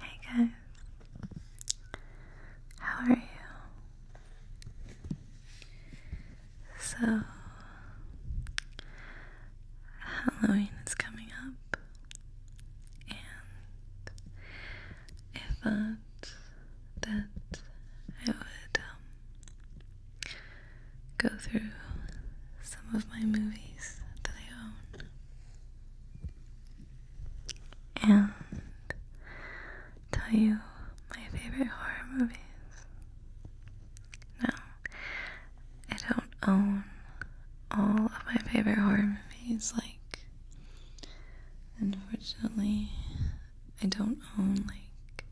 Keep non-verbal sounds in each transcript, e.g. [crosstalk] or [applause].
Hey guys, how are you? So, Halloween is coming up, and I thought that I would um, go through some of my movies that I own and tell you my favorite horror movies. No, I don't own all of my favorite horror movies, like, unfortunately, I don't own, like,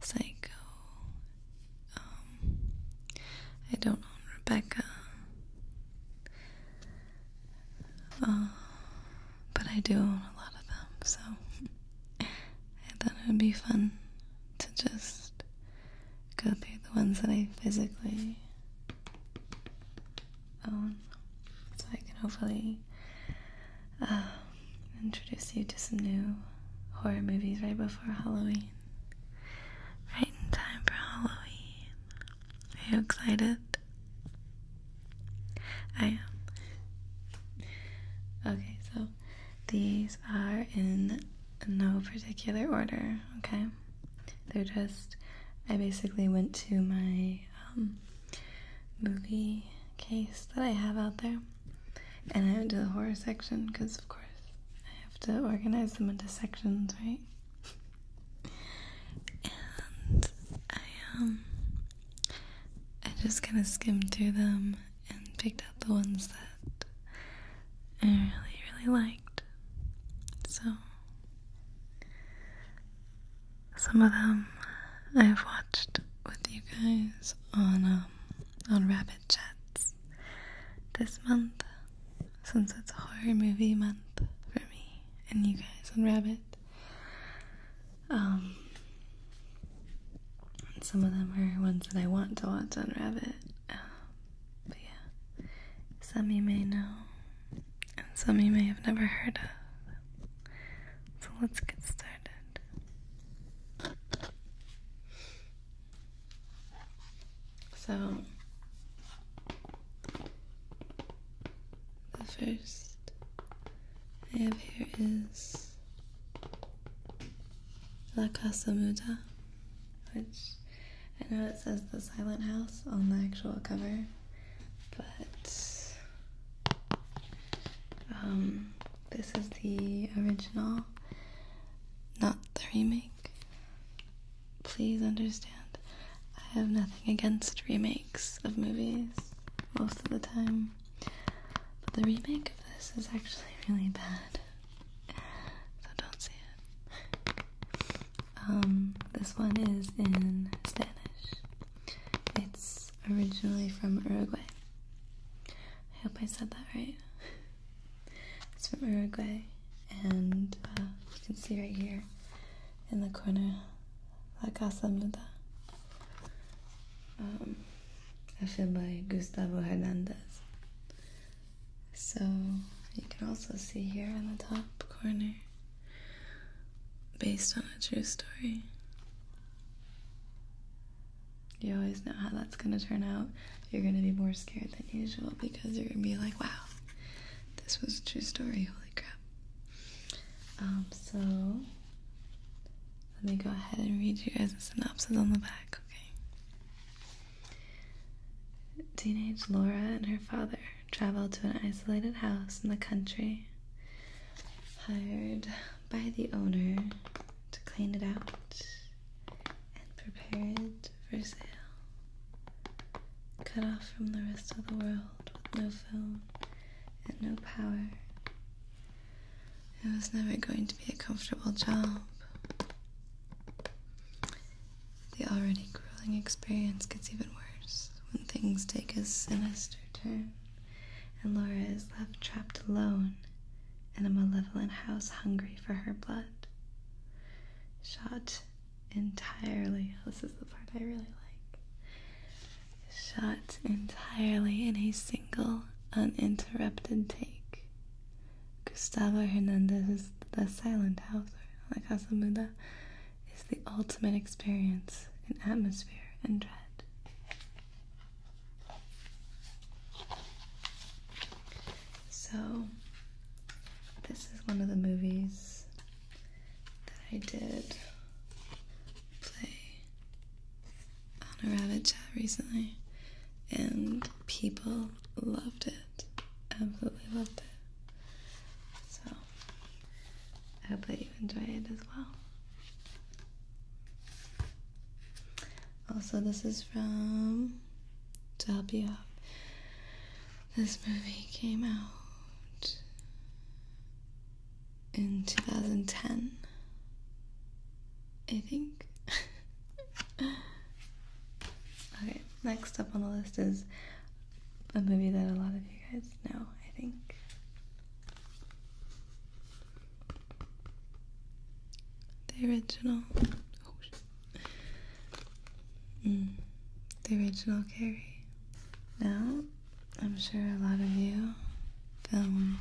Psycho um, I don't own Rebecca, uh, but I do own a lot of them, so [laughs] I thought it would be fun to just go through the ones that I physically own so I can hopefully uh, introduce you to some new horror movies right before Halloween. Right in time for Halloween. Are you excited? I am. Okay, so these are in no particular order, okay? They're just, I basically went to my um, movie case that I have out there and I went to the horror section because, of course. I have to organize them into sections, right? and I um I just kind of skimmed through them and picked out the ones that I really really liked. So some of them I've watched with you guys on um on Rabbit. Chats this month since it's a horror movie month for me and you guys on Rabbit. Um, some of them are ones that I want to watch on Rabbit. Um, but yeah, some you may know and some you may have never heard of. So let's get started. So, the first I have here is La Casa Muda, which I know it says the silent house on the actual cover, but um, this is the original, not the remake. Please understand, I have nothing against remakes of movies most of the time, but the remake of this is actually really bad, so don't see it. Um, this one is in Spanish. It's originally from Uruguay. I hope I said that right. It's from Uruguay, and uh, you can see right here in the corner La Casa Muda. Um, a by Gustavo Hernandez. So you can also see here in the top corner, based on a true story. You always know how that's going to turn out you're gonna be more scared than usual because you're gonna be like, wow, this was a true story, holy crap. Um, so let me go ahead and read you guys the synopsis on the back, okay? Teenage Laura and her father travel to an isolated house in the country, hired by the owner to clean it out and prepared for sale. Cut off from the rest of the world with no phone and no power. It was never going to be a comfortable job. The already grueling experience gets even worse when things take a sinister turn and Laura is left trapped alone in a malevolent house hungry for her blood shot entirely. [laughs] This is the part I really like. Shot entirely in a single uninterrupted take. Gustavo Hernandez is The Silent House, or La Casa Muda, is the ultimate experience in atmosphere and dread. So, this is one of the movies that I did play on a rabbit chat recently, and people loved it. Absolutely loved it. So, I hope that you enjoy it as well. Also, this is from To Help You out. This movie came out in 2010, I think. [laughs] okay, next up on the list is a movie that a lot of you guys know, I think. The original. Oh, Mm. the original Carrie. Now, I'm sure a lot of you, film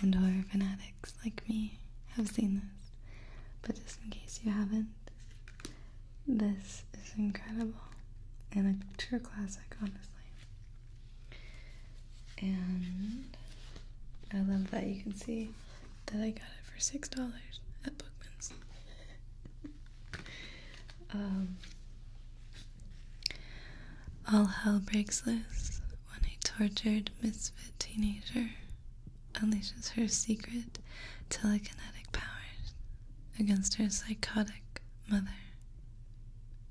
and horror fanatics like me, have seen this. But just in case you haven't, this is incredible and a true classic, honestly. And I love that you can see that I got it for six dollars at Bookman's. Um, all hell breaks loose when a tortured misfit teenager unleashes her secret telekinetic powers against her psychotic mother.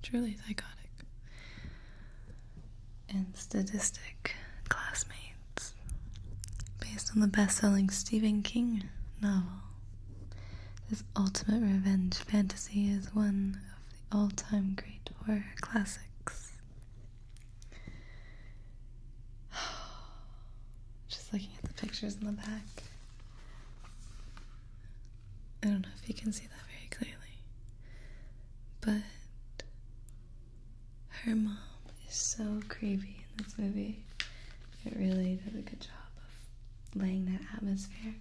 Truly psychotic and sadistic classmates based on the best selling Stephen King novel. This ultimate revenge fantasy is one of the all time great horror classics. [sighs] Just looking at the pictures in the back. I don't know if you can see that very clearly, but her mom is so creepy in this movie. It really does a good job of laying that atmosphere.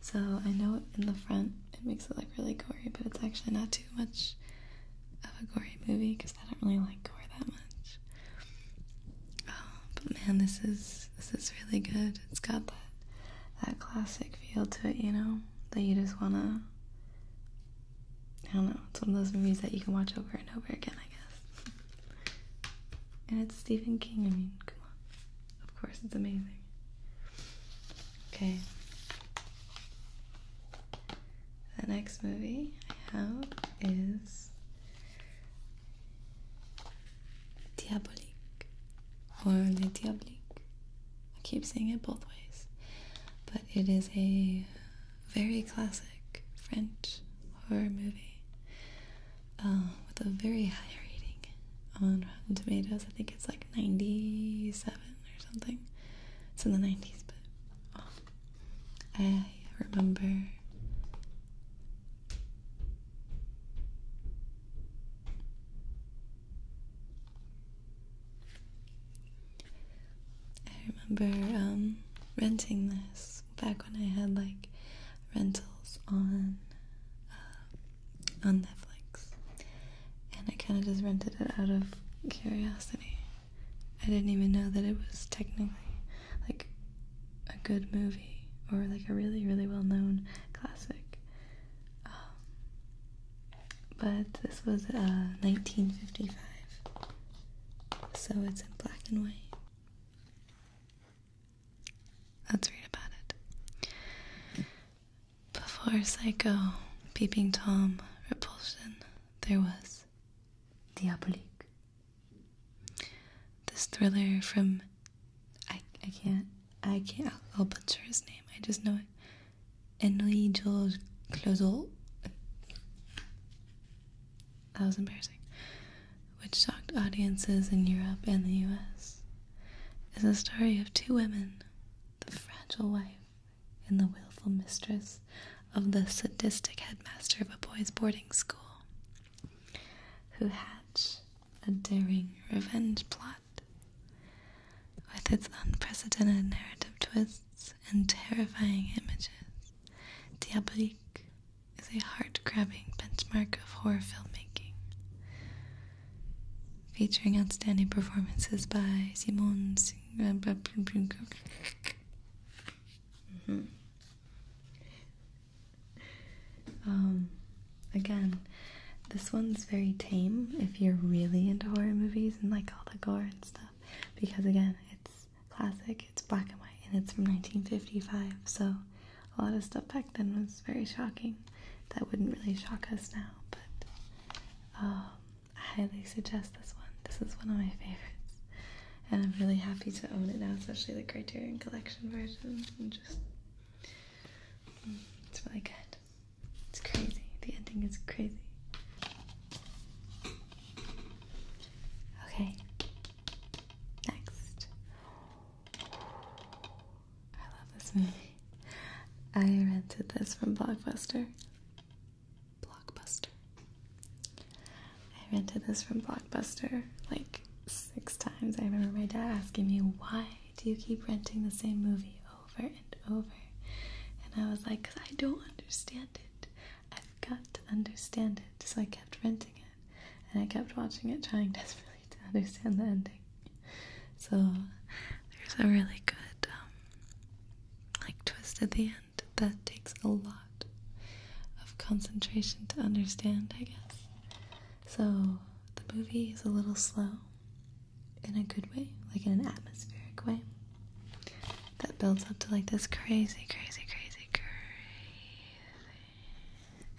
So I know in the front it makes it look really gory, but it's actually not too much of a gory movie because I don't really like gore that much. Um, but man, this is this is really good. It's got that that classic feel to it, you know, that you just wanna I don't know. It's one of those movies that you can watch over and over again, I guess. and it's Stephen King. I mean, come on. Of course, it's amazing. Okay. The next movie I have is Diabolique or the Diabolique. I keep saying it both ways, but it is a very classic French horror movie uh, with a very high rating on Rotten Tomatoes. I think it's like 97 or something. It's in the 90s, but oh, I remember. I remember um, renting this back when I had like rentals on uh, on Netflix, and I kind of just rented it out of curiosity. I didn't even know that it was technically like a good movie or like a really really well known classic. Um, but this was 1955, uh, so it's in black and white. Let's read about it. Before Psycho, Peeping Tom, Repulsion, there was Diabolique. This thriller from I I can't I can't I'll butcher his name. I just know it. Henri Georges Clozel. That was embarrassing. Which shocked audiences in Europe and the US, is a story of two women the fragile wife and the willful mistress of the sadistic headmaster of a boys' boarding school, who hatch a daring revenge plot. With its unprecedented narrative twist, and terrifying images, Diabolique is a heart grabbing benchmark of horror filmmaking. Featuring outstanding performances by Simon. Mm-hmm. Um, again, this one's very tame if you're really into horror movies and like all the gore and stuff because again, it's classic, it's black and white, and it's from 1955. So a lot of stuff back then was very shocking. That wouldn't really shock us now, but um, I highly suggest this one. This is one of my favorites, and I'm really happy to own it now, especially the Criterion Collection version. And just mm, it's really good. It's crazy. The ending is crazy. Okay. Next. I love this movie. I rented this from Blockbuster. Blockbuster. I rented this from Blockbuster like six times. I remember my dad asking me, Why do you keep renting the same movie over and over? And I was like, Because I don't understand it. I've got to understand it. So I kept renting it and I kept watching it, trying [laughs] desperately to understand the ending. So there's a really good, um, like, twist at the end that takes a lot of concentration to understand, I guess. So the movie is a little slow in a good way, like in an atmospheric way that builds up to like this crazy, crazy, crazy, crazy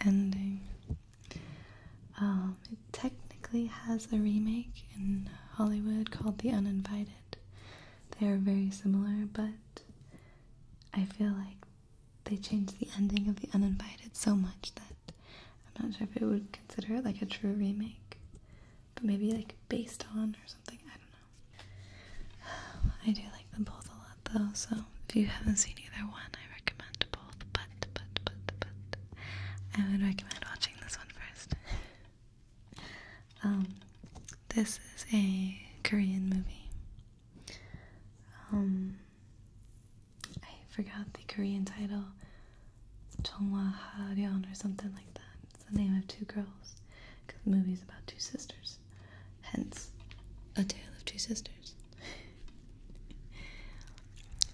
ending. Um, it technically has a remake in Hollywood called The Uninvited. They are very similar, but I feel like they changed the ending of The Uninvited so much that I'm not sure if it would consider it like a true remake but maybe like based on or something. I don't know. [sighs] I do like them both a lot though, so if you haven't seen either one, I recommend both. But, but, but, but, I would recommend watching this one first. [laughs] um, this is a Korean movie. Um, I forgot the Korean title. Chongwa Haryon or something like that the name of two girls because the movie's about two sisters. Hence, A Tale of Two Sisters. [laughs]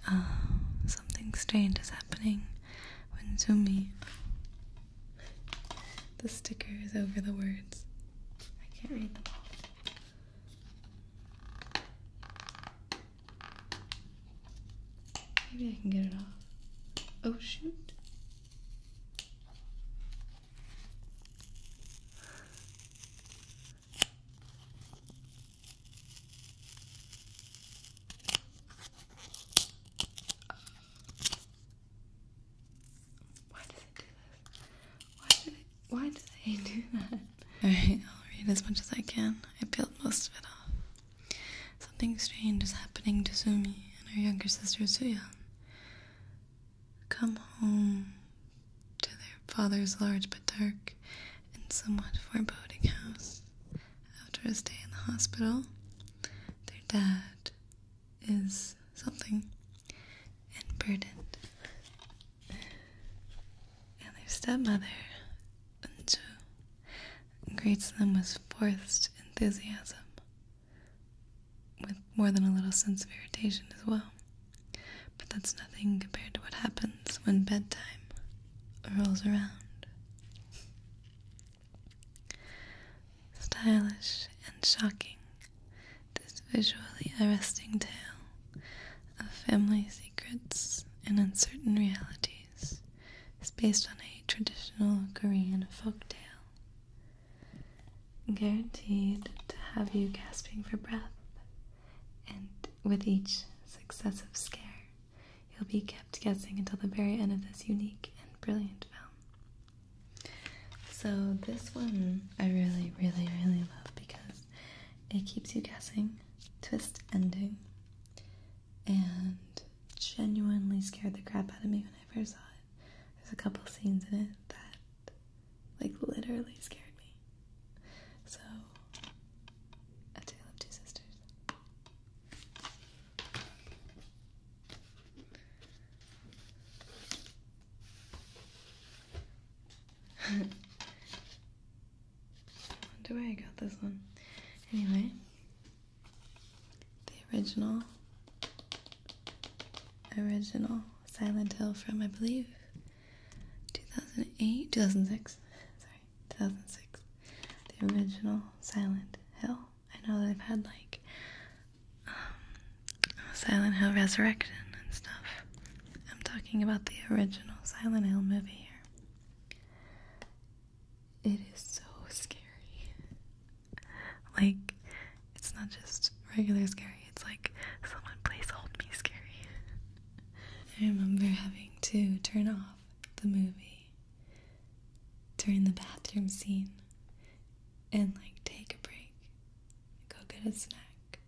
Um, something strange is happening when Zumi. The sticker is over the words. I can't read them Maybe I can get it off. Oh shoot. Why does it do this? Why did why did they do that? Alright, I'll read as much as I can. I peeled most of it off. Something strange is happening to Sumi and her younger sister Suya. Come home to their father's large but dark and somewhat foreboding house. After a stay in the hospital, their dad is something and burdened. And their stepmother, Unju, greets them with forced enthusiasm, with more than a little sense of irritation as well. But that's nothing compared to what happens when bedtime rolls around. Stylish and shocking, this visually arresting tale of family secrets and uncertain realities stories is based on a traditional Korean folktale. Guaranteed to have you gasping for breath, and with each successive scare, you'll be kept guessing until the very end of this unique and brilliant film. So, this one I really, really, really love because it keeps you guessing, twist ending, and genuinely scared the crap out of me when I first saw it. There's a couple scenes in it that, like, literally scared me. So, A Tale of Two Sisters. [laughs] I I got this one. Anyway, the original, original Silent Hill from, I believe, 2008, 2006, sorry, 2006. The original Silent Hill. I know they've had like um, Silent Hill Resurrection and stuff. I'm talking about the original Silent Hill movie here. It is so scary. Like, it's not just regular scary, it's like someone plays Hold Me Scary. I remember having to turn off the movie during the bathroom scene and like take a break, go get a snack,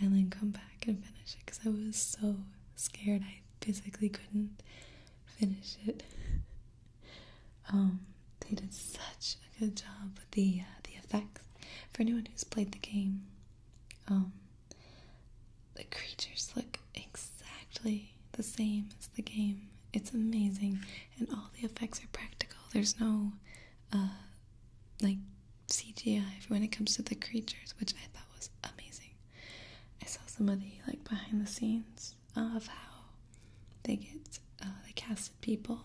and then come back and finish it because I was so scared I physically couldn't finish it. Um, they did such a good job with the uh, the effects. For anyone who's played the game, um, the creatures look exactly the same as the game. It's amazing, and all the effects are practical. There's no uh, like CGI when it comes to the creatures, which I thought was amazing. I saw some of the like behind the scenes of how they get uh, they casted people,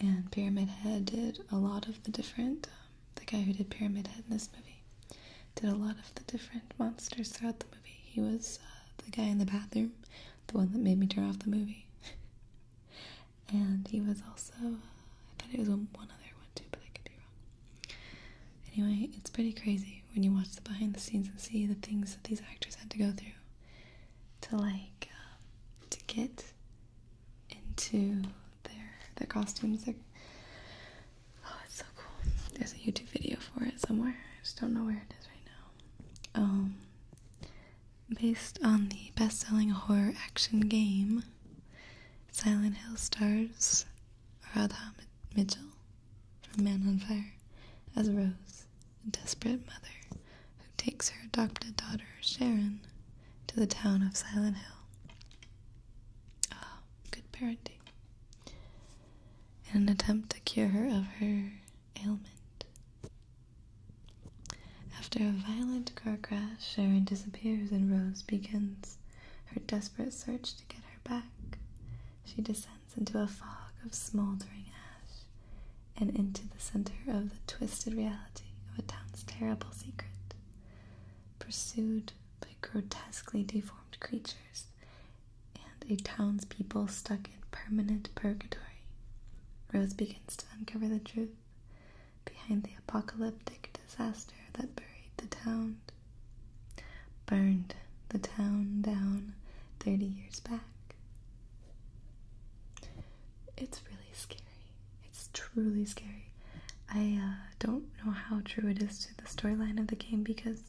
and Pyramid Head did a lot of the different. Um, the guy who did Pyramid Head in this movie did a lot of the different monsters throughout the movie. He was uh, the guy in the bathroom, the one that made me turn off the movie, [laughs] and he was also uh, I thought it was one other one too, but I could be wrong. Anyway, it's pretty crazy when you watch the behind the scenes and see the things that these actors had to go through to like um, to get into their their costumes. Their... Oh, it's so cool. There's a YouTube video for it somewhere. I just don't know where it is right now. Um, based on the best-selling horror action game, Silent Hill stars Radha Mitchell from Man on Fire as Rose, a desperate mother who takes her adopted daughter, Sharon, to the town of Silent Hill. Ah, oh, good parenting. In an attempt to cure her of her ailment. After a violent car crash, Sharon disappears and Rose begins her desperate search to get her back. She decides into a fog of smoldering ash and into the center of the twisted reality of a town's terrible secret. Pursued by grotesquely deformed creatures and a townspeople stuck in permanent purgatory, Rose begins to uncover the truth behind the apocalyptic disaster that buried the town burned the town down 30 years back. It's really scary. It's truly scary. I uh, don't know how true it is to the storyline of the game because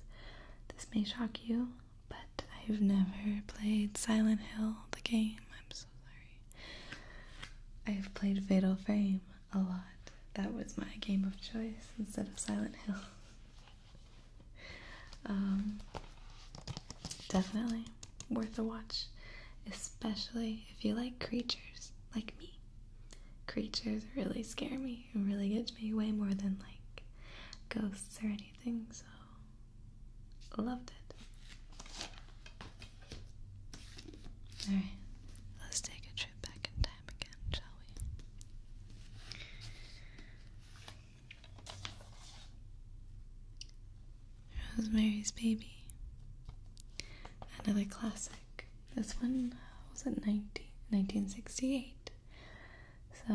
this may shock you, but I've never played Silent Hill, the game. I'm so sorry. I've played Fatal Frame a lot. That was my game of choice instead of Silent Hill. [laughs] Um, definitely worth a watch, especially if you like creatures like me. Creatures really scare me and really get me way more than like ghosts or anything, so loved it. Alright, let's take a trip back in time him again, shall Baby. Another classic. This one was at 1968. So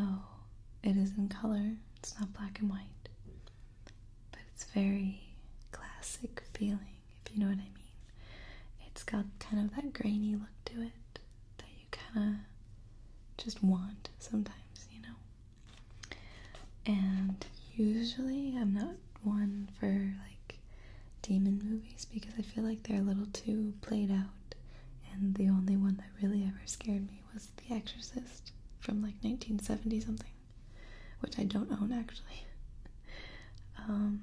it is in color, it's not black and white. But it's very classic feeling, if you know what I mean. It's got kind of that grainy look to it that you kind of just want sometimes, you know? And usually I'm not one for like demon movies because I feel like they're a little too played out. And the only one that really ever scared me was The Exorcist from like 1970 something, which I don't own actually. [laughs] Um,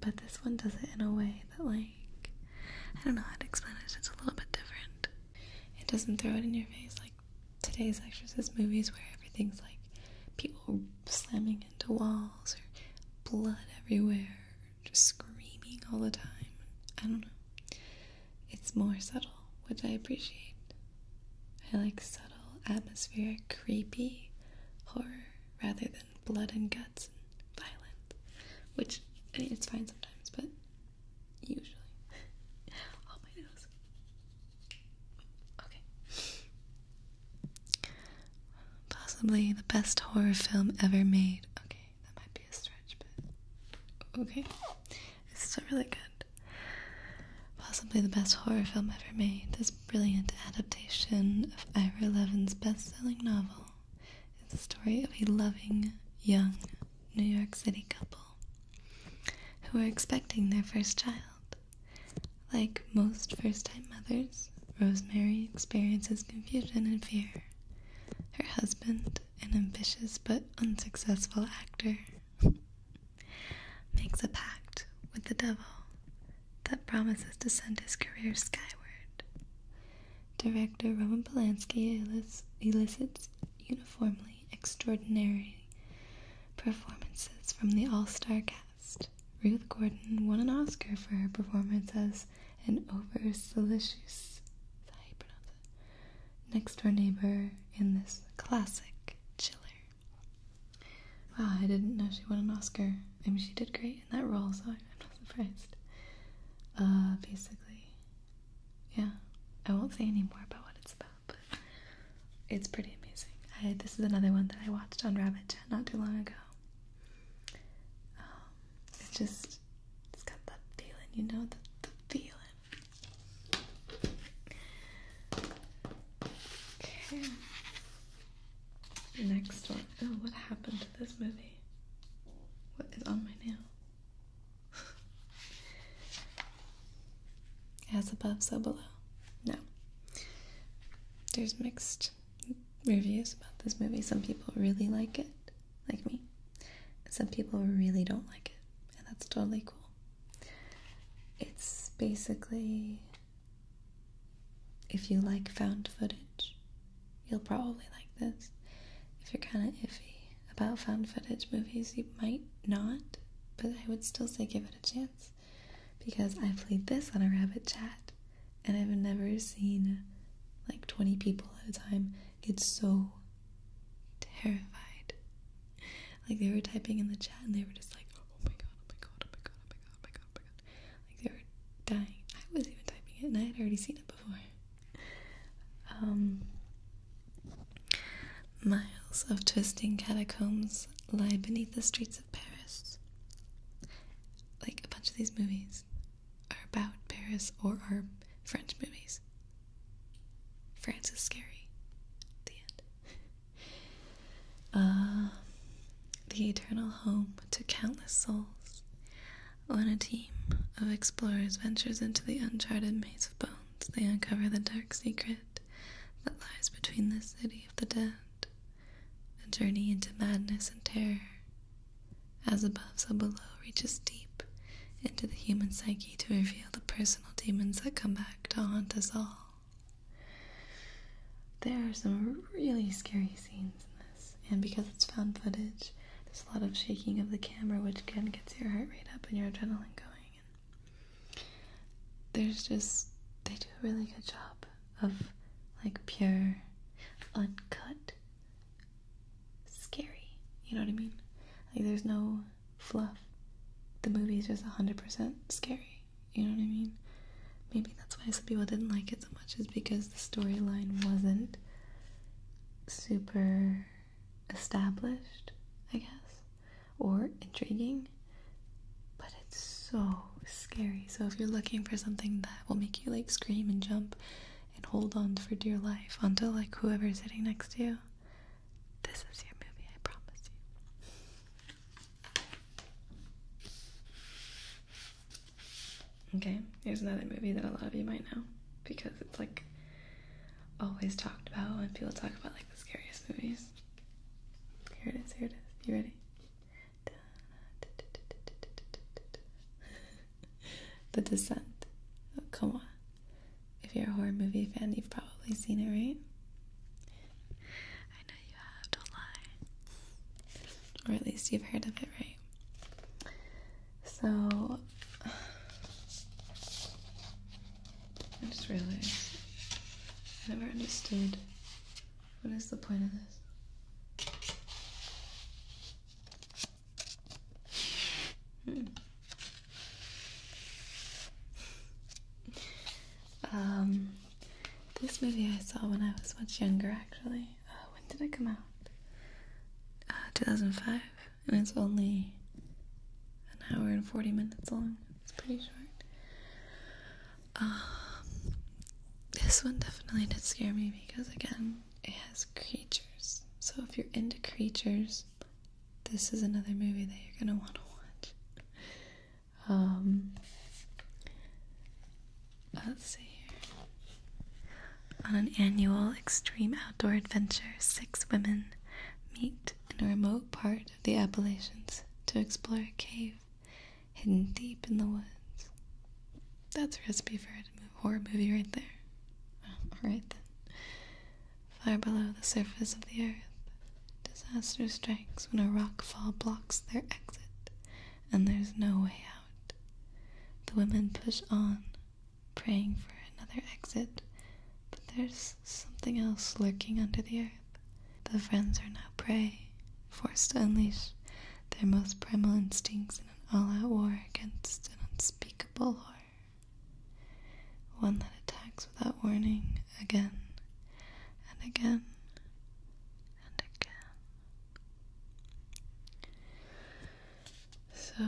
but this one does it in a way that, like, I don't know how to explain it. It's a little bit different. It doesn't throw it in your face like today's Exorcist movies where everything's like people slamming into walls or blood everywhere, just screaming all the time. I don't know. It's more subtle, which I appreciate. I like subtle, atmospheric, creepy horror rather than blood and guts and violence, which I mean it's fine sometimes, but usually. oh [laughs] my nose. Okay. Possibly the best horror film ever made. Okay, that might be a stretch, but okay, it's still really good. Possibly the best horror film ever made. This brilliant adaptation of Ira Levin's best-selling novel it's is the story of a loving, young New York City couple who are expecting their first child. Like most first time mothers, Rosemary experiences confusion and fear. Her husband, an ambitious but unsuccessful actor, makes a pact with the devil that promises to send his career skyward. Director Roman Polanski elicits uniformly extraordinary performances from the all star cast. Ruth Gordon won an Oscar for her performance as an over solicitous next door neighbor in this classic chiller. Wow, I didn't know she won an Oscar. I mean, she did great in that role, so I'm surprised. Uh, basically, yeah. I won't say anymore about what it's about, but it's pretty amazing. this is another one that I watched on Rabbit not too long ago. Um, it's just, it's got that feeling, you know, the, the feeling. Okay. Next one. Oh, what happened this movie. What is on my nail? [laughs] As above, so below. No. There's mixed reviews about this movie. Some people really like it, like me. some people really don't like it, and that's totally cool. It's basically if you like found footage You'll probably like this. If you're kind of iffy about found footage movies, you might not, but I would still say give it a chance because I played this on a rabbit chat and I've never seen like 20 people at a time get so terrified. Like they were typing in the chat and they were just like, oh my god, oh my god, oh my god, oh my god, oh my god, oh my god. Like they were dying. I was even typing it and I had already seen it before. Um, miles of twisting catacombs lie beneath the streets of Paris. Like a bunch of these movies are about Paris or are French movies. France is scary. the [laughs] uh, eternal home to countless souls. When a team of explorers ventures into the uncharted maze of bones, they uncover the dark secret that lies between this city of the dead, a journey into madness and terror. As above, so below reaches deep into the human psyche to reveal the personal demons that come back to haunt us all. There are some really scary scenes in and because it's found footage, there's a lot of shaking of the camera, which again gets your heart rate up and your adrenaline going. And there's just, they do a really good job of like pure, uncut, scary. You know what I mean? Like, there's no fluff. The movie is just 100% scary. You know what I mean? Maybe that's why some people didn't like it much is because the storyline wasn't super established, I guess, or intriguing, but it's so scary. So if you're looking for something that will make you like scream and jump and hold on for dear life until like whoever's sitting next to you, this is your movie, I promise you. Okay, here's another movie that a lot of you might know because it's like always talked about when people talk about like the scariest movies. Here it is, here it is. You ready? [laughs] the Descent. Oh, come on. If you're a horror movie fan, you've probably seen it, right? I know you have, don't lie. Or at least you've heard of it, right? So [sighs] I just realized I never understood what is the point of this. Hmm. [laughs] Um, this movie I saw when I was much younger, actually. Uh, when did it come out? Uh, 2005, and it's only an hour and 40 minutes long. It's pretty short. Um, this one definitely did scare me because, again, it has creatures. So if you're into creatures, this is another movie that you're gonna want to watch. Um, on an annual extreme outdoor adventure, six women meet in a remote part of the Appalachians to explore a cave hidden deep in the woods. That's a recipe for a horror movie right there. alright then. Far below the surface of the earth, disaster strikes when a rock fall blocks their exit and there's no way out. The women push on, praying for another exit, but there's something else lurking under the earth. The friends are now prey, forced to unleash their most primal instincts in an all out war against an unspeakable horror. One that attacks without warning again and again and again. So,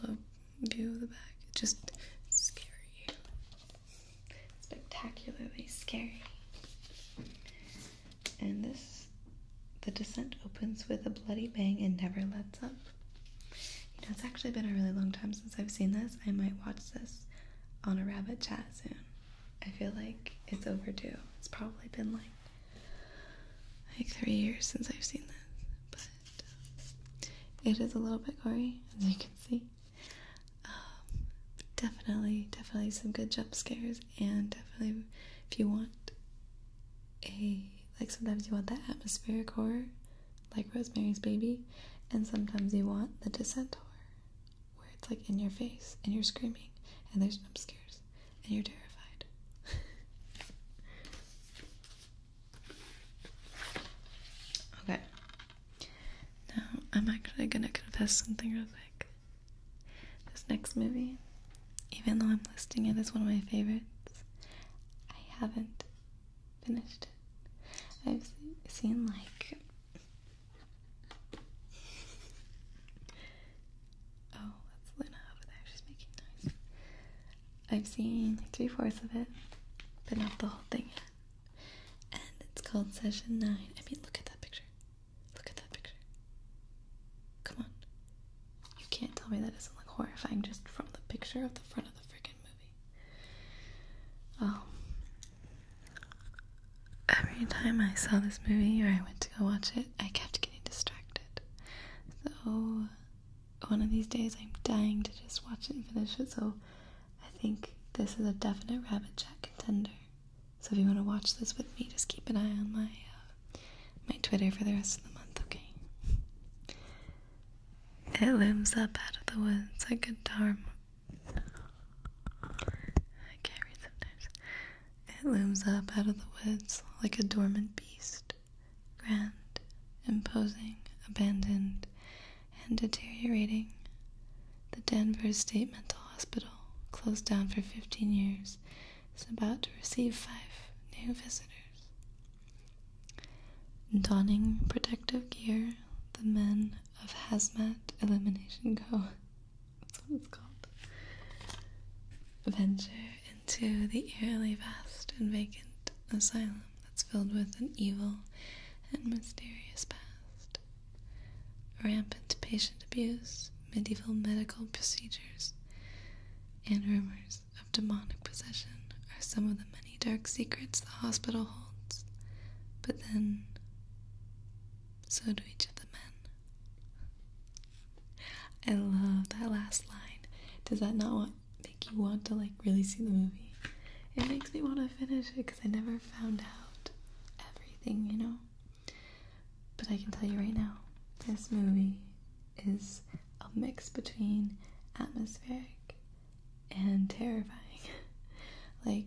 little view of the back. Just scary. Spectacularly scary. And this, the descent opens with a bloody bang and never lets up. You know, it's actually been a really long time since I've seen this. I might watch this on a rabbit chat soon. I feel like it's overdue. It's probably been like like three years since I've seen this, but it is a little bit gory, as you can see. Um, definitely, definitely some good jump scares, and definitely if you want a like sometimes you want that atmospheric horror, like Rosemary's Baby, and sometimes you want The horror where it's like in your face and you're screaming and there's jump scares and you're terrified. [laughs] okay. Now I'm actually gonna confess something real quick. This next movie, even though I'm listing it as one of my favorites, I haven't finished it. I've seen like oh, that's Luna over there. She's making noise. I've seen three fourths of it, but not the whole thing yet. And it's called Session 9. I mean, look at that picture. Look at that picture. Come on. You can't tell me that doesn't look horrifying just from the picture of the front of the freaking movie. Oh every time I saw this movie or I went to go watch it, I kept getting distracted. So, one of these days I'm dying to just watch it and finish it, so I think this is a definite rabbit jack contender. So, if you want to watch this with me, just keep an eye on my, uh, my Twitter for the rest of the month, okay? It looms up out of the woods like a dharma. I can't read sometimes. It looms up out of the woods like a dormant beast, grand, imposing, abandoned, and deteriorating. The Denver State Mental Hospital, closed down for 15 years, is about to receive five new visitors. Donning protective gear, the men of Hazmat Elimination [laughs] go that's what it's called. Venture into the eerily vast and vacant asylum that's filled with an evil and mysterious past. Rampant patient abuse, medieval medical procedures, and rumors of demonic possession are some of the many dark secrets the hospital holds. But then, so do each of the men. I love that last line. Does that not make you want to like really see the movie? It makes me want to finish it because I never found out everything, you know? But I can tell you right now, this movie is a mix between atmospheric and terrifying. [laughs] like,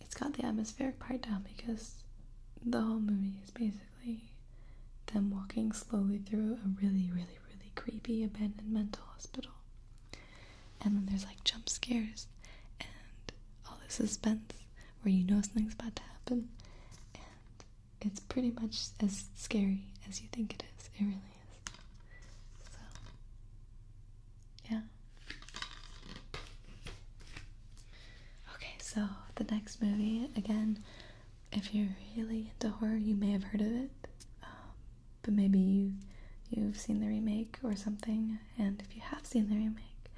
it's got the atmospheric part down because the whole movie is basically them walking slowly through a really, really, really creepy abandoned mental hospital. And then there's like jump scares and all the suspense where you know something's about to happen. And it's pretty much as scary as you think it is. It really is. So, yeah. Okay, so the next movie, again, if you're really into horror, you may have heard of it, um, but maybe you you've seen the remake or something. And if you have seen the remake,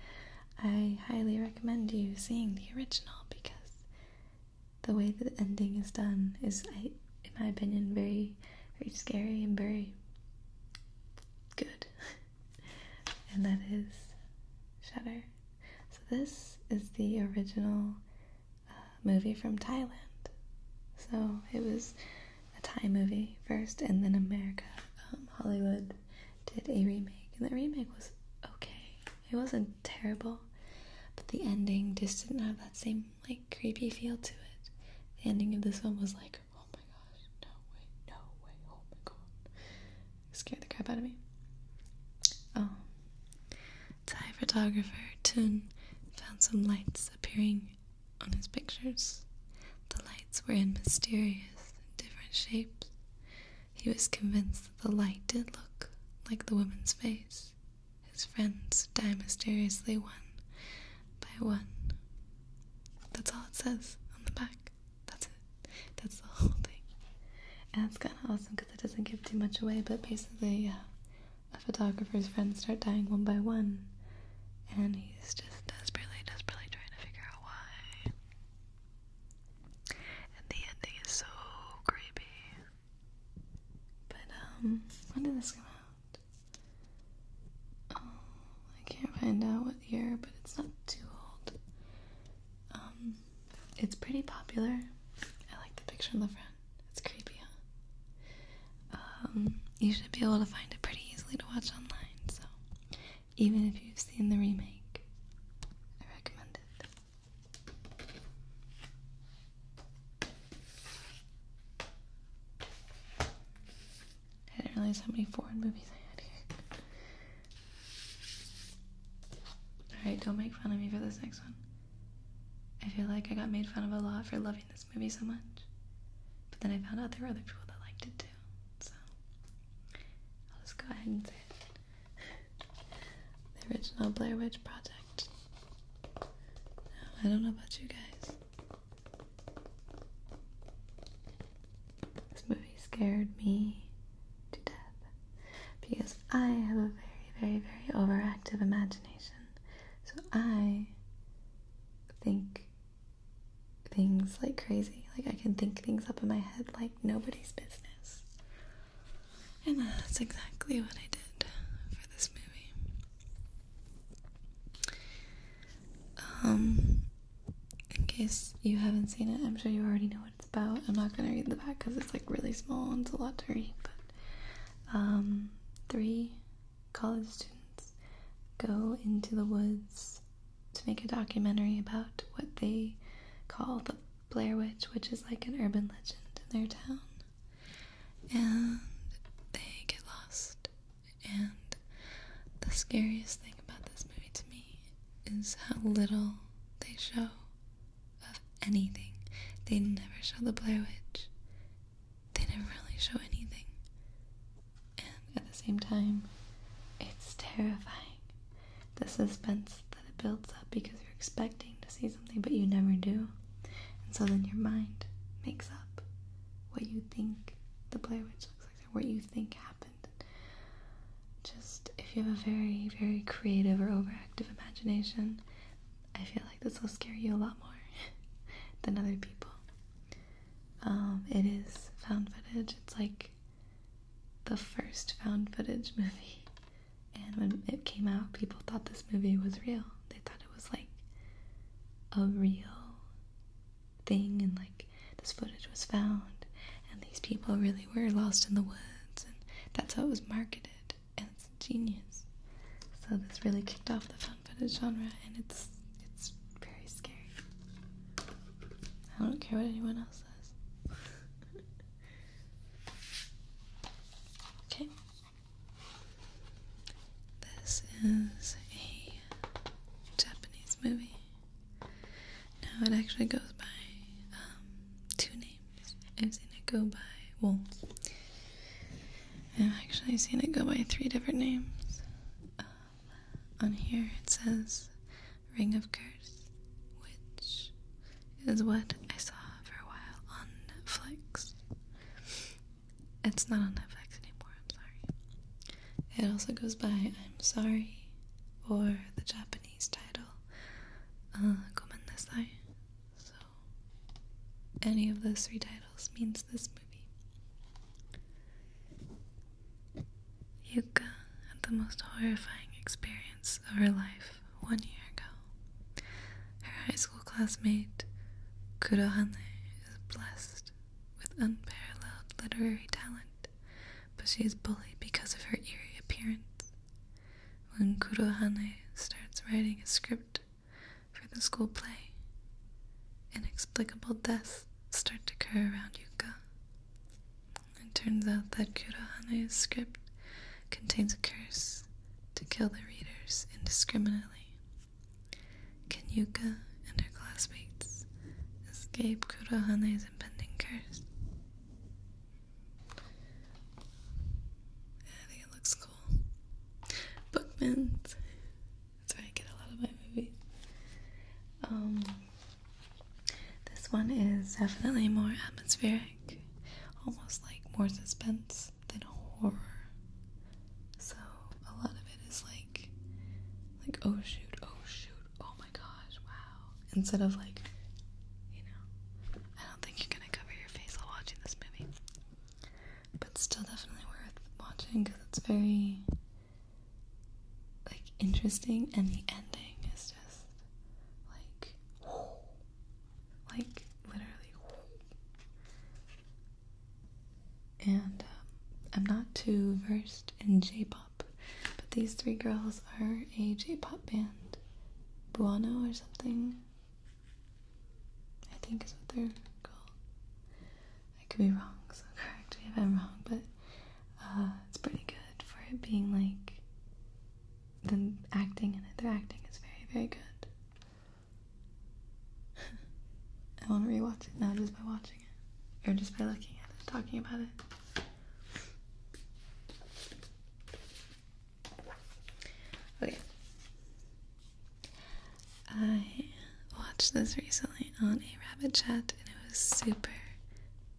I highly recommend you seeing the original because the way the ending is done is, in my opinion, very very scary and very good. [laughs] [laughs] and that is Shutter. So this is the original uh, movie from Thailand. So it was a Thai movie first, and then America, um, Hollywood did a remake, and the remake was okay. It wasn't terrible, but the ending just didn't have that same like creepy feel to it. The ending of this one was like, oh my gosh, no way, no way, oh my god scared the crap out of me. Oh. Thai photographer Tun found some lights appearing on his pictures. The lights were in mysterious, different shapes. He was convinced that the light did look like the woman's face. His friends die mysteriously one by one. That's all it says on the back. That's it. That's the [laughs] whole thing. And it's kind of awesome because it doesn't give too much away, but basically, a photographer's friends start dying one by one, and he's just desperately, desperately trying to figure out why. And the ending is so creepy. But, um, when did this come out? Oh, I can't find out what year, but it's not too old. Um, it's pretty popular. I like the picture on the front. It's creepy, huh? Um, you should be able to find it pretty easily to watch online, so even if you've seen the remake, I recommend it. I didn't realize how many foreign movies I had here. Alright, don't make fun of me for this next one. I feel like I got made fun of a lot for loving this movie so much. But then I found out there were other people that liked it too. So I'll just go ahead and say it. the original Blair Witch Project. I don't know about you guys. This movie scared me to death because I have a very, very, very overactive imagination. So I think things like crazy. Like I can think things up in my head like nobody's business. And that's exactly what I did for this movie. Um in case you haven't seen it, I'm sure you already know what it's about. I'm not gonna read the back because it's like really small and it's a lot to read. But um, three college students go into the woods to make a documentary about what they call the Blair Witch, which is like an urban legend in their town. And they get lost. And the scariest thing about this movie to me is how little they show of anything. They never show the Blair Witch. They never really show anything. And at the same time, it's terrifying. The suspense that it builds up because you're expecting to see something, but you never do. And so then your mind makes up what you think the Blair Witch looks like, or what you think happened just if you have a very, very creative or overactive imagination, I feel like this will scare you a lot more [laughs] than other people. Um, it is found footage. It's like the first found footage [laughs] movie. And when it came out, people thought this movie was real. They thought it was like a real thing and like this footage was found and these people really were lost in the woods and that's how it was marketed and it's genius. So this really kicked off the found footage genre and it's it's very scary. I don't care what anyone else says. okay. This is a Japanese movie. No, it actually goes by um, two names. I've seen it go by, well, I've actually seen it go by three different names. Um, on here it says Ring of Curse, which is what I saw for a while on Netflix. It's not on Netflix anymore, I'm sorry. It also goes by I'm sorry or the Japanese title uh, Komandasai. So, any of those three titles means this movie. Yuka had the most horrifying experience of her life one year ago. Her high school classmate, Kurohane, is blessed with unparalleled literary talent but she is bullied because of her eerie appearance. When Kurohane starts writing a script for the school play, inexplicable deaths start to occur around Yuka. It turns out that Kurohane's script contains a curse to kill the readers indiscriminately. Can Yuka and her classmates escape Kurohane's his curse. I think it looks cool. Bookman's. That's where I get a lot of my movies. Um, this one is definitely more atmospheric, almost like more suspense than horror. So a lot of it is like, like oh shoot, oh shoot, oh my gosh, wow. Instead of like, you know, I don't think you're gonna cover your face while watching this movie. But it's still definitely worth watching because it's very like interesting and the ending is just like [gasps] like literally [gasps] and um, I'm not too versed in J-pop but these three girls are a J pop band. Buono or something. I think is what they're called. I could be wrong, so [laughs] correct me if I'm wrong, but uh, it's pretty good for it being like them acting in it. Their acting is very, very good. [laughs] I want to rewatch it now just by watching it, or just by looking at it, talking about it. Okay. I watched this recently on a rabbit chat and it was super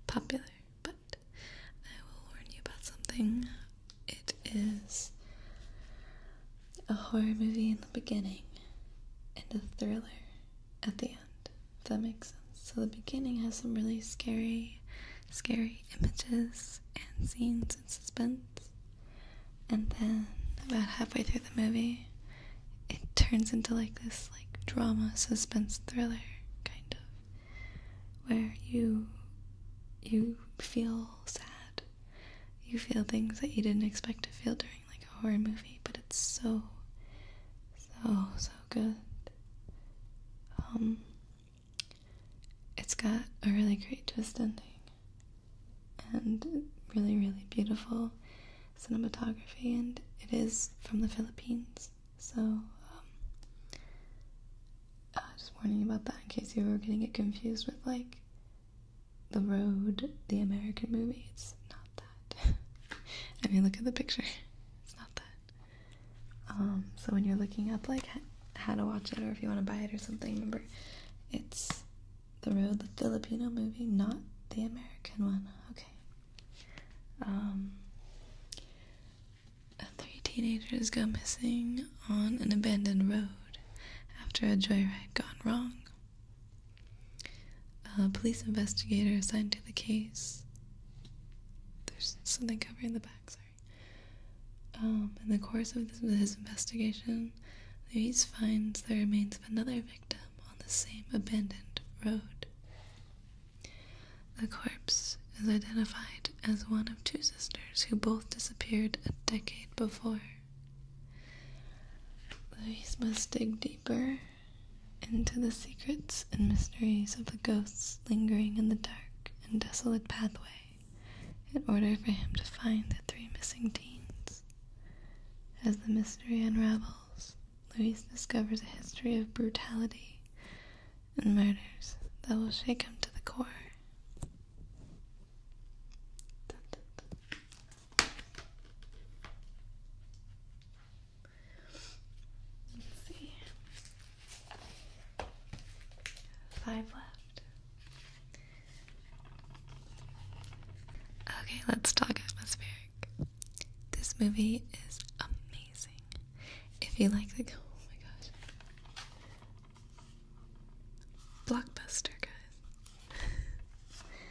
popular, but I will warn you about something. It is a horror movie in the beginning and a thriller at the end, that makes sense. So the beginning has some really scary, scary images and scenes and suspense. And then about halfway through the movie, it turns into like this like drama suspense thriller kind of where you you feel sad. You feel things that you didn't expect to feel during like a horror movie, but it's so so so good. Um, it's got a really great twist ending and really, really beautiful cinematography, and it is from the Philippines. So, um, uh, just warning about that in case you were getting it confused with like The Road, the American movie. It's not not that. [laughs] I mean, look at the picture. It's not that. Um, so when you're looking up like how to watch it or if you want to buy it or something, remember it's the road, the Filipino movie, not the American one. Okay. Um, three teenagers go missing on an abandoned road after a joyride gone wrong. A police investigator assigned to the case. There's something covering the back, sorry. Um, in the course of his investigation, Luis finds the remains of another victim on the same abandoned road. The corpse is identified as one of two sisters who both disappeared a decade before. Luis must dig deeper into the secrets and mysteries of the ghosts lingering in the dark and desolate pathway in order for him to find the three missing teens. As the mystery unravels, Luis discovers a history of brutality and murders that will shake him to the core. Let's see. Five left. Okay, let's talk atmospheric. This movie is amazing. If you like the oh my gosh. Blockbuster guys.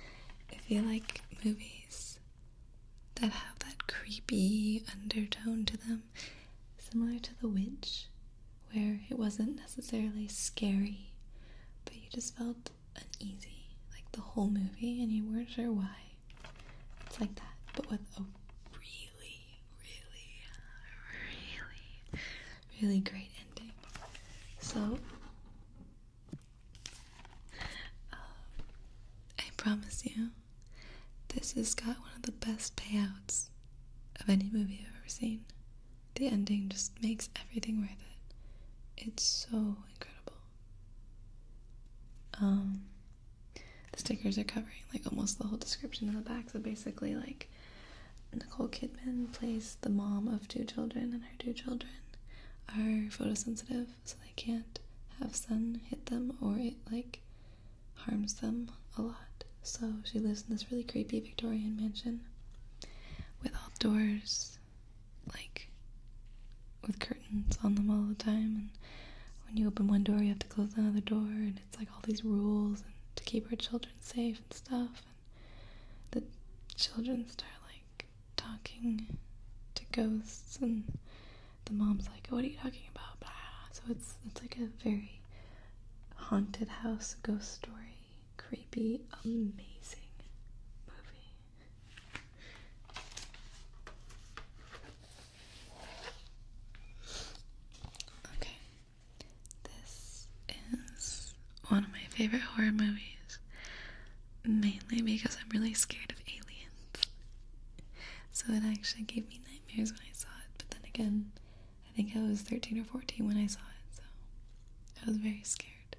[laughs] if you like movies that have that creepy undertone to them, similar to The Witch, where it wasn't necessarily scary, but you just felt uneasy like the whole movie and you weren't sure why. It's like that, but with a really, really, really, really great ending. So, um, I promise you, this has got one of the best payouts of any movie I've ever seen. The ending just makes everything worth it. It's so incredible. Um, the stickers are covering like almost the whole description in the back, so basically, like, Nicole Kidman plays the mom of two children, and her two children are photosensitive, so they can't have sun hit them or it like harms them a lot. So she lives in this really creepy Victorian mansion with all doors like with curtains on them all the time and when you open one door you have to close another door and it's like all these rules and to keep her children safe and stuff and the children start like talking to ghosts, and the mom's like, "What are you talking about?" So it's it's like a very haunted house ghost story, creepy, amazing movie. Okay, this is one of my favorite horror movies, mainly because I'm really scared of aliens. So it actually gave me nightmares when I saw it, but then again, I think I was 13 or 14 when I saw it, so I was very scared.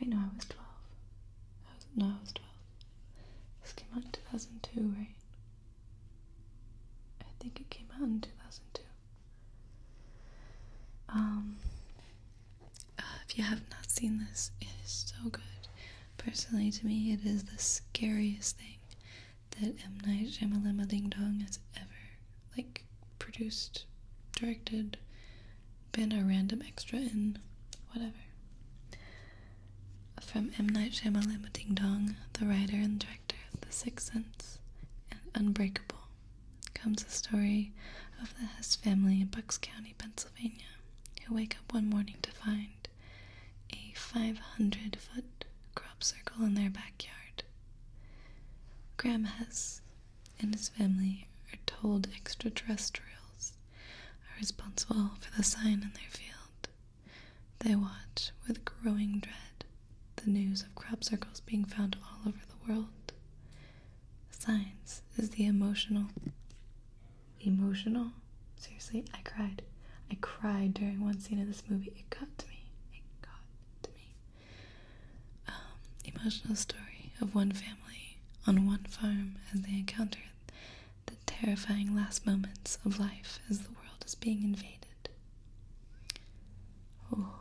Wait, no, I was 12. I was, no, I was 12. This came out in 2002, right? I think it came out in 2002. Um, uh, if you have not seen this, it is so good. Personally, to me, it is the scariest thing that M. Night Shyamalama Ding Dong has ever, like, produced, directed, been a random extra in, whatever. From M. Night Shyamalama Ding Dong, the writer and director of The Sixth Sense and Unbreakable, comes the story of the Hess family in Bucks County, Pennsylvania who wake up one morning to find a 500 foot crop circle in their backyard. Graham Hess and his family are told extraterrestrials are responsible for the sign in their field. They watch with growing dread the news of crop circles being found all over the world. Science is the emotional emotional. Seriously, I cried. I cried during one scene of this movie. It got to me. It got to me. Um, emotional story of one family on one farm as they encounter the terrifying last moments of life as the world is being invaded. Oh,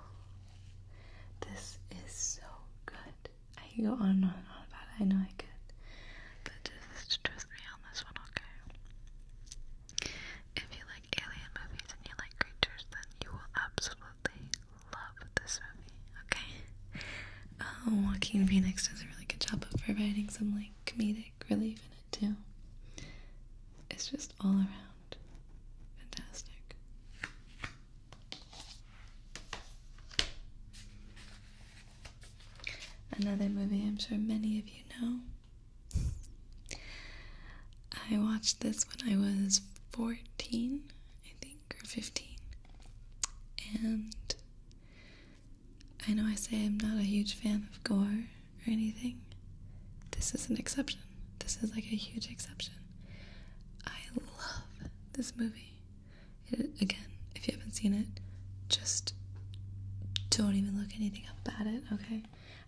this is so good. I can go on and on and on about it. I know I could. But just trust me on this one, okay? If you like alien movies and you like creatures, then you will absolutely love this movie, okay? Um, Joaquin Phoenix does a really good job of providing some, like, comedic relief in it, too. It's just all around fantastic. Another movie I'm sure many of you know. I watched this when I was 14, I think, or 15. And I know I say I'm not a huge fan of gore or anything. This is an exception. This is like a huge exception. I love this movie again, if you haven't seen it, just don't even look anything up about it, okay?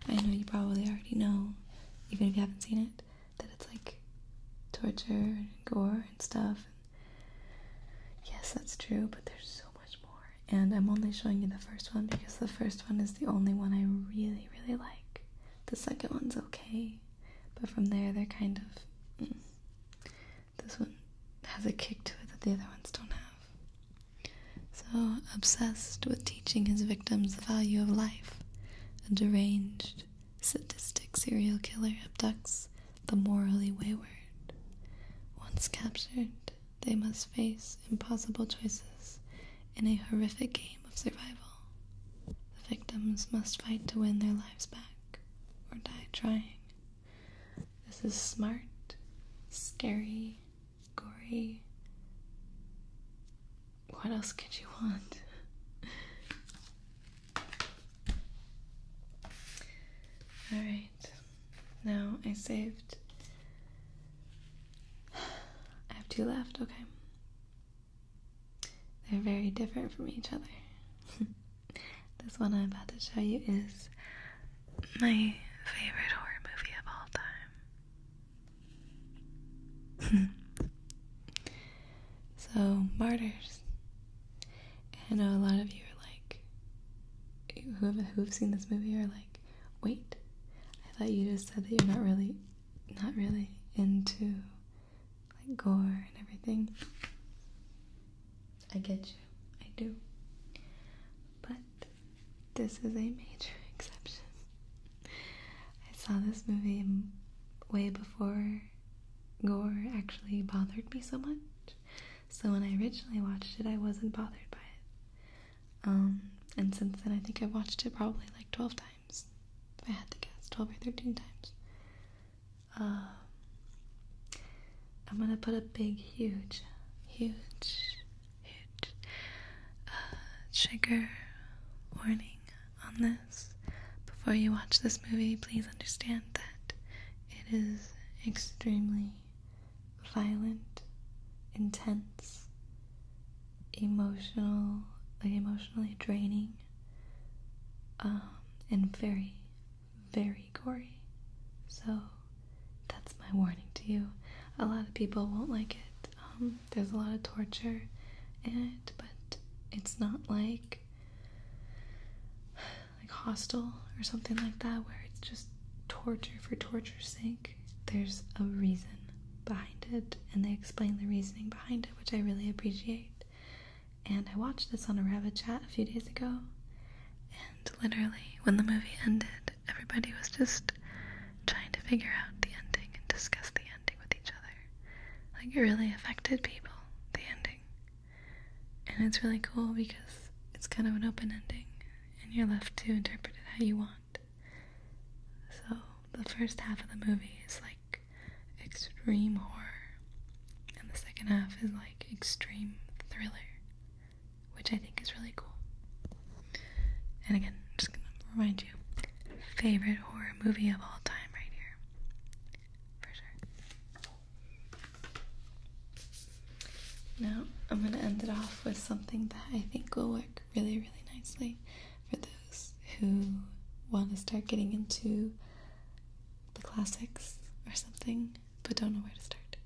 I know you probably already know, even if you haven't seen it, that it's like torture and gore and stuff. yes, that's true, but there's so much more. And I'm only showing you the first one because the first one is the only one I really, really like. The second one's okay, but from there, they're kind of. Mm. This one has a kick to it that the other ones don't have. So, obsessed with teaching his victims the value of life, a deranged, sadistic serial killer abducts the morally wayward. Once captured, they must face impossible choices in a horrific game of survival. The victims must fight to win their lives back or die trying. This is smart, scary, gory. What else could you want? Alright, now I saved. I have two left, okay. They're very different from each other. [laughs] This one I'm about to show you is my favorite horror movie of all time. [laughs] so, Martyrs. I know a lot of you are like, who who have seen this movie are like, wait, I thought you just said that you're not really, not really into like gore and everything. I get you, I do. But this is a major [laughs] exception. I saw this movie way before gore actually bothered me so much. So when I originally watched it, I wasn't bothered by it. Um, and since then, I think I've watched it probably like 12 times. If I had to guess, 12 or 13 times. Uh, I'm gonna put a big, huge, huge, huge uh, trigger warning on this. Before you watch this movie, please understand that it is extremely violent, intense, emotional, like emotionally draining, um, and very very gory. So that's my warning to you. A lot of people won't like it. Um, there's a lot of torture in it, but it's not like like hostile or something like that where it's just torture for torture's sake. There's a reason behind it, and they explain the reasoning behind it, which I really appreciate. And I watched this on a Rabbit Chat a few days ago, and literally, when the movie ended, everybody was just trying to figure out the ending and discuss the ending with each other. Like, it really affected people, the ending. And it's really cool because it's kind of an open ending, and you're left to interpret it how you want. So, the first half of the movie is like extreme horror, and the second half is like extreme thriller, which I think is really cool. And again, I'm just gonna remind you, favorite horror movie of all time right here. For sure. Now I'm gonna end it off with something that I think will work really, really nicely for those who want to start getting into the classics or something, but don't know where to start.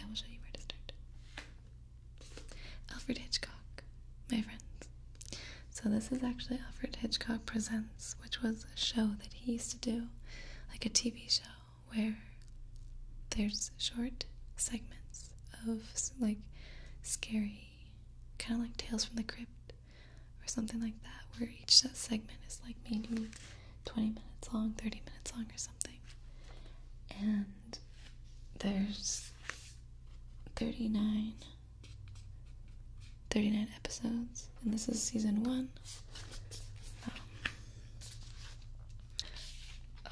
I will show you where to start. Alfred Hitchcock, my friends. So, this is actually Alfred Hitchcock Presents, which was a show that he used to do, like a TV show, where there's short segments of like scary, kind of like Tales from the Crypt or something like that, where each segment is like maybe 20 minutes long, 30 minutes long, or something. And there's 39, 39 episodes, and this is season one. Um,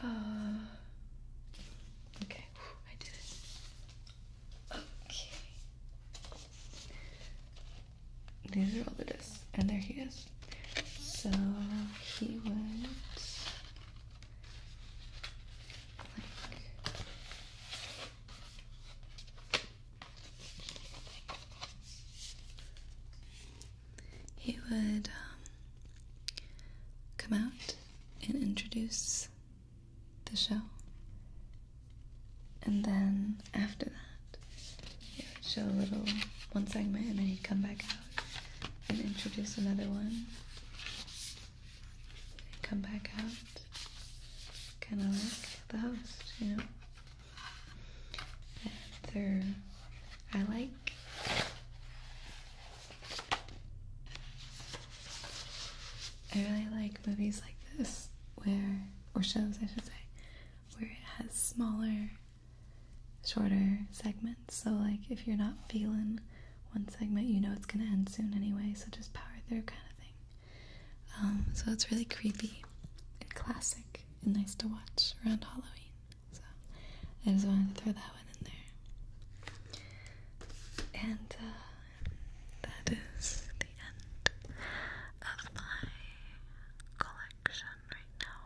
uh, okay, I did it. Okay these are all the discs, and there he is. So he would he would um, come out and introduce the show and then after that, show a little one segment, and then he'd come back out and introduce another one. And come back out, kind of like the host, you know. After I like I really like movies like this where or shows I should say, where it has smaller, shorter segments. So, like, if you're not feeling one segment, you know it's gonna end soon anyway, so just power through kind of thing. Um, so, it's really creepy and classic and nice to watch around Halloween. So, I just wanted to throw that one in there. And uh, that is the end of my collection right now.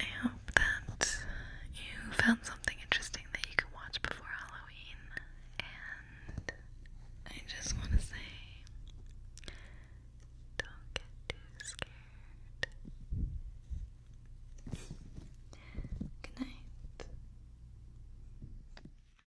I hope that you found something interesting that you can watch before Halloween, and I just want to say don't get too scared. Good night.